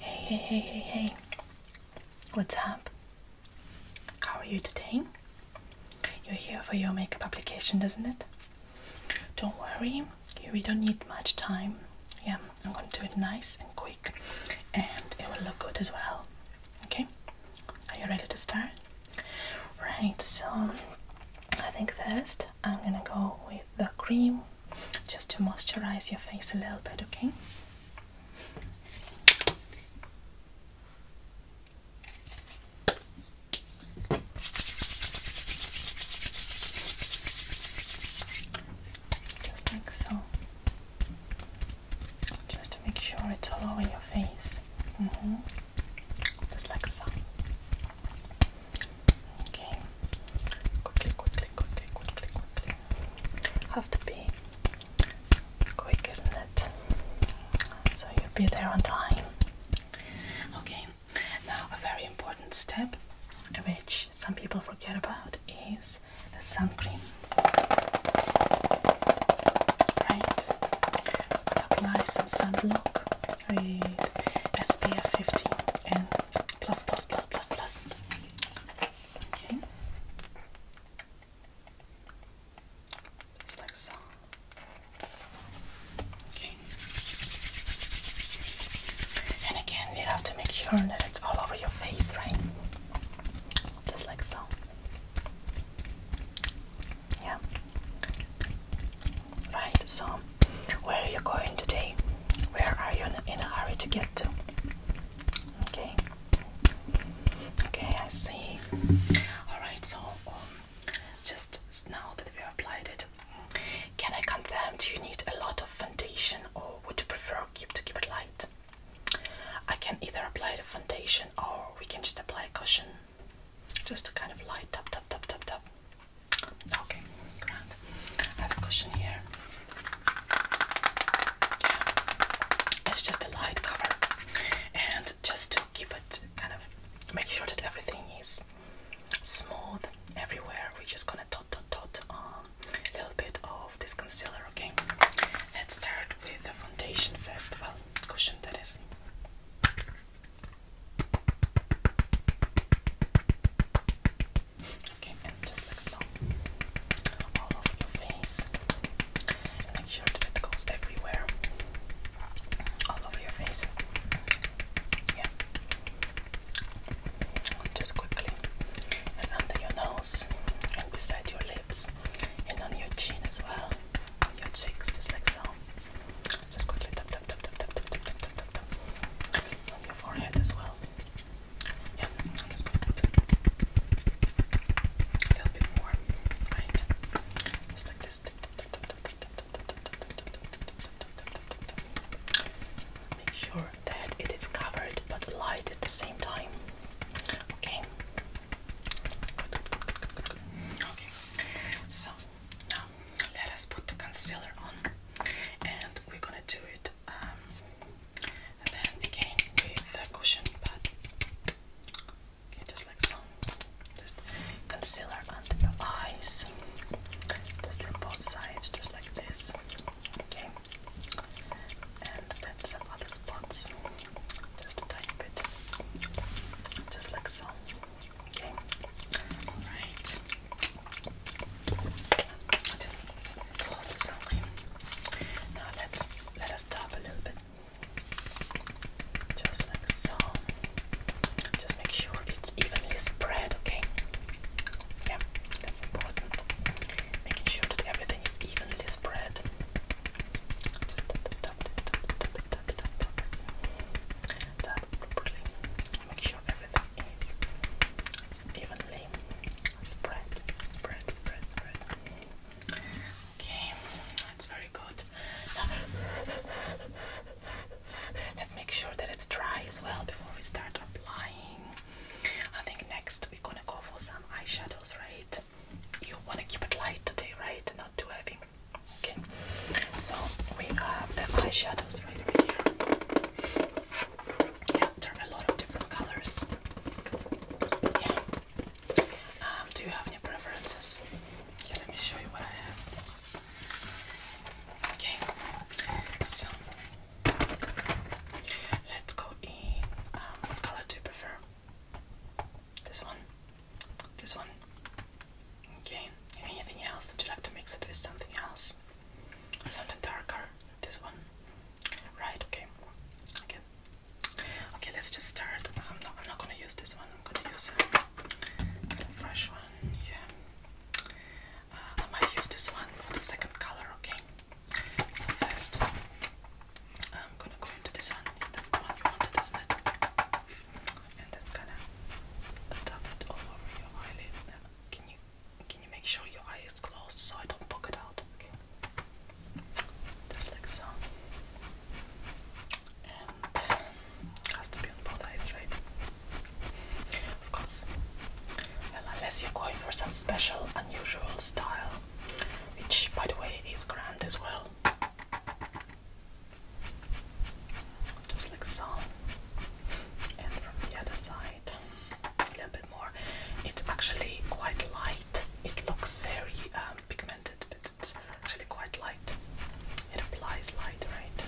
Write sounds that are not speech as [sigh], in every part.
Hey, hey, hey, hey, hey. What's up? How are you today? You're here for your makeup application, does not it? Don't worry, we don't need much time. Yeah, I'm going to do it nice and quick and it will look good as well. Okay? Are you ready to start? Right, so I think first I'm gonna go with the cream just to moisturize your face a little bit, okay? Just like so, just to make sure it's all over your face. -hmm. Just like so. Okay. Quickly, quickly, quickly, quickly, quickly. Have to be quick, isn't it? So you'll be there on time. Okay. Now a very important step, which some people forget about, is the sunscreen. Right. Apply some sunblock with SPF 50 and Plus, plus, plus, plus, plus. Okay. Just like so. Okay. And again, you have to make sure that it's all over your face, right? Just like so. Yeah. Right, so where are you going today? Where are you in a hurry to get to? Okay. Okay, I see. Alright, so um, just now that we applied it, can I confirm do you need a lot of foundation or would you prefer keep to keep it light? I can either apply the foundation or we can just apply a cushion. Just to kind of light up, tap, tap, tap, tap. Okay, grand. I have a cushion here. It's just a light cover, and just to keep it kind of make sure that everything is smooth everywhere. We're just gonna dot dot dot a um, little bit of this concealer. Okay, let's start with the foundation first. Well, cushion that is. Okay, and just like so, all over your face. make sure that it goes everywhere, all over your face. Yeah. Just quickly, and under your nose, and beside your lips, and on your chin as well, on your cheeks, just like so. Just quickly tap tap tap tap tap tap tap tap tap tap on your forehead as well a little bit more, right? Just like this. Make sure that it is covered but light at the same time. Okay. Okay. So now let us put the concealer on, and we're gonna do it. Um, and then again with the cushion pad okay, just like so just concealer under your eyes just from both sides just like this okay and then some other spots just a tiny just like so okay all right Close the sign. Now let's let us top a little bit. Just like so. Just make sure it's evenly spread, okay? Yeah, that's important. Making sure that everything is evenly spread. Just tap it, tap it, tap it, tap it, properly. Make sure everything is evenly spread, spread, spread, spread. Okay, that's very good. Now, let's make sure that it's dry as well before we start applying. I think next we're gonna go for some eyeshadows, right? You want to keep it light today, right? Not too heavy. Okay, so we have the eyeshadows right over here. Yeah, there are a lot of different colors. Yeah. Um, do you have any preferences? Yeah, let me show you what I have. Okay, so let's go in. Um, color do you prefer? This one? This one? Okay, anything else? Would you like to mix it with something else? Something darker? This one? Right, okay. Okay. Okay, let's just start. I'm um, not I'm not gonna use this one, I'm gonna use a um, fresh one, yeah. Uh, I might use this one for the second color, okay? So first I'm gonna go into this one. That's the one you wanted, isn't it? And it's gonna dot it all over your eyelid. can you can you make sure your eye is closed so I don't poke it out? Okay. Just like so. And has to be on both eyes, right? Of course. Well, unless you're going for some special, unusual style, which, by the way, is grand as well. Just like so. And from the other side a little bit more. It's actually quite light. It looks very um, pigmented, but it's actually quite light. It applies light, right?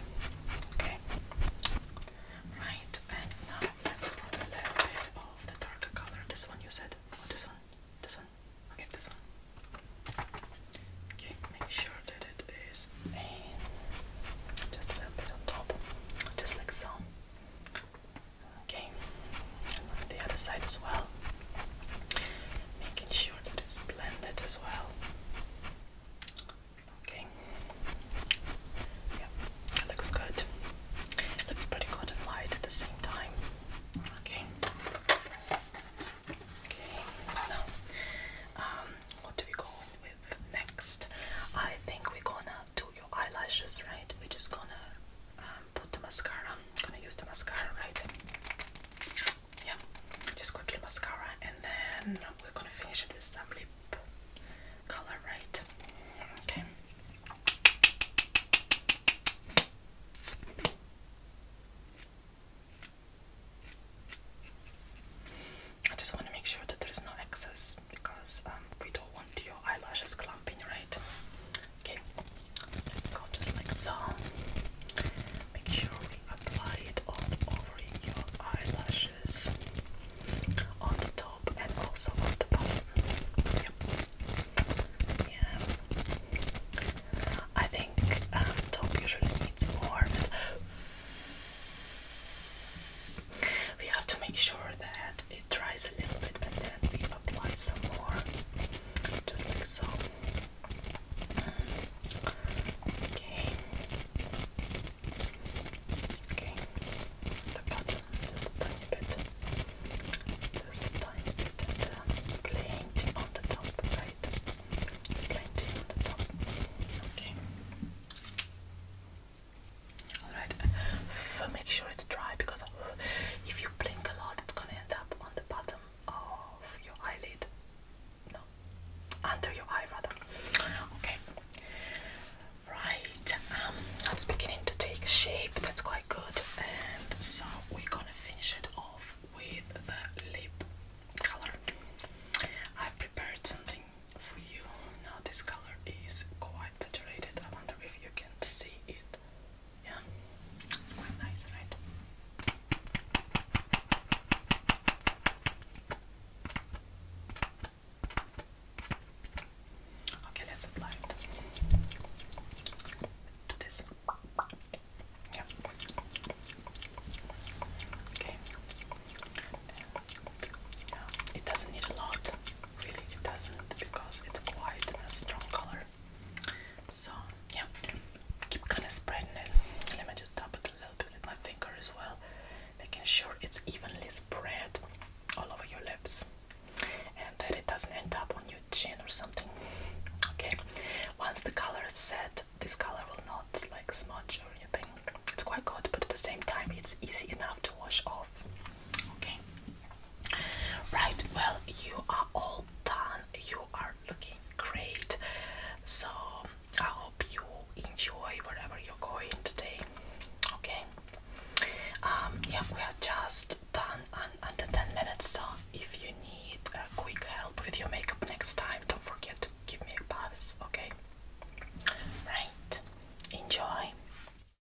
Okay. Right, and now let's put a little bit of the darker color. This one you said. Oh, this one. This one. Okay, this one. Okay, make sure that it is just a little top, just like so. Okay, and on the other side as well, making sure that it's blended as well. Okay, yeah, it looks good. It looks pretty good light at the same time. Okay. Okay, now, um, what do we go with next? I think we're gonna do eyelashes, right? We're just gonna um, put the mascara. gonna use the mascara, right? Yeah, just quickly mascara, and then we're gonna finish it with some lip color, right? Okay. I just want to make sure that there is no excess because um, we don't want want your eyelashes clamping right? Okay, let's go just like so. Make sure we apply it all over your eyelashes on the top and also on the bottom. Yep. Yeah. I think um, top usually needs more we have to make sure that it dries a little bit and then we apply some more just like so okay okay the bottom just a tiny bit just a tiny bit and on the top right just on the top okay Alright, [sighs] make sure it's dry because [sighs] if you blink a lot, it's gonna end up on the bottom of your eyelid. No, under your eye rather. Okay, right. Um, it's beginning to take shape. That's quite good. And so we're gonna finish it off with the lip color. I've prepared something for you. Now this color is quite saturated. I wonder if you can can see it. Yeah, it's quite nice, right? Okay, let's apply it to this. Yeah. Okay. It doesn't need a lot. Really, it doesn't because it's quite a strong color. So, yeah, keep kind of spreading it. Let me just dab it a little bit with my finger as well, making sure it's evenly spread all over your lips and that it doesn't end up on your chin or something. Okay, once the color is set, this color will not like smudge or anything. It's quite good, but at the same time, it's easy enough to wash off. Okay, Right, well, you are all done. You are looking great. So, I hope you enjoy wherever you're going today. Okay? Um, yeah, we are just done under 10 minutes. So, if you need a quick help with your makeup next time, don't forget to give me a buzz. Okay? Right. Enjoy.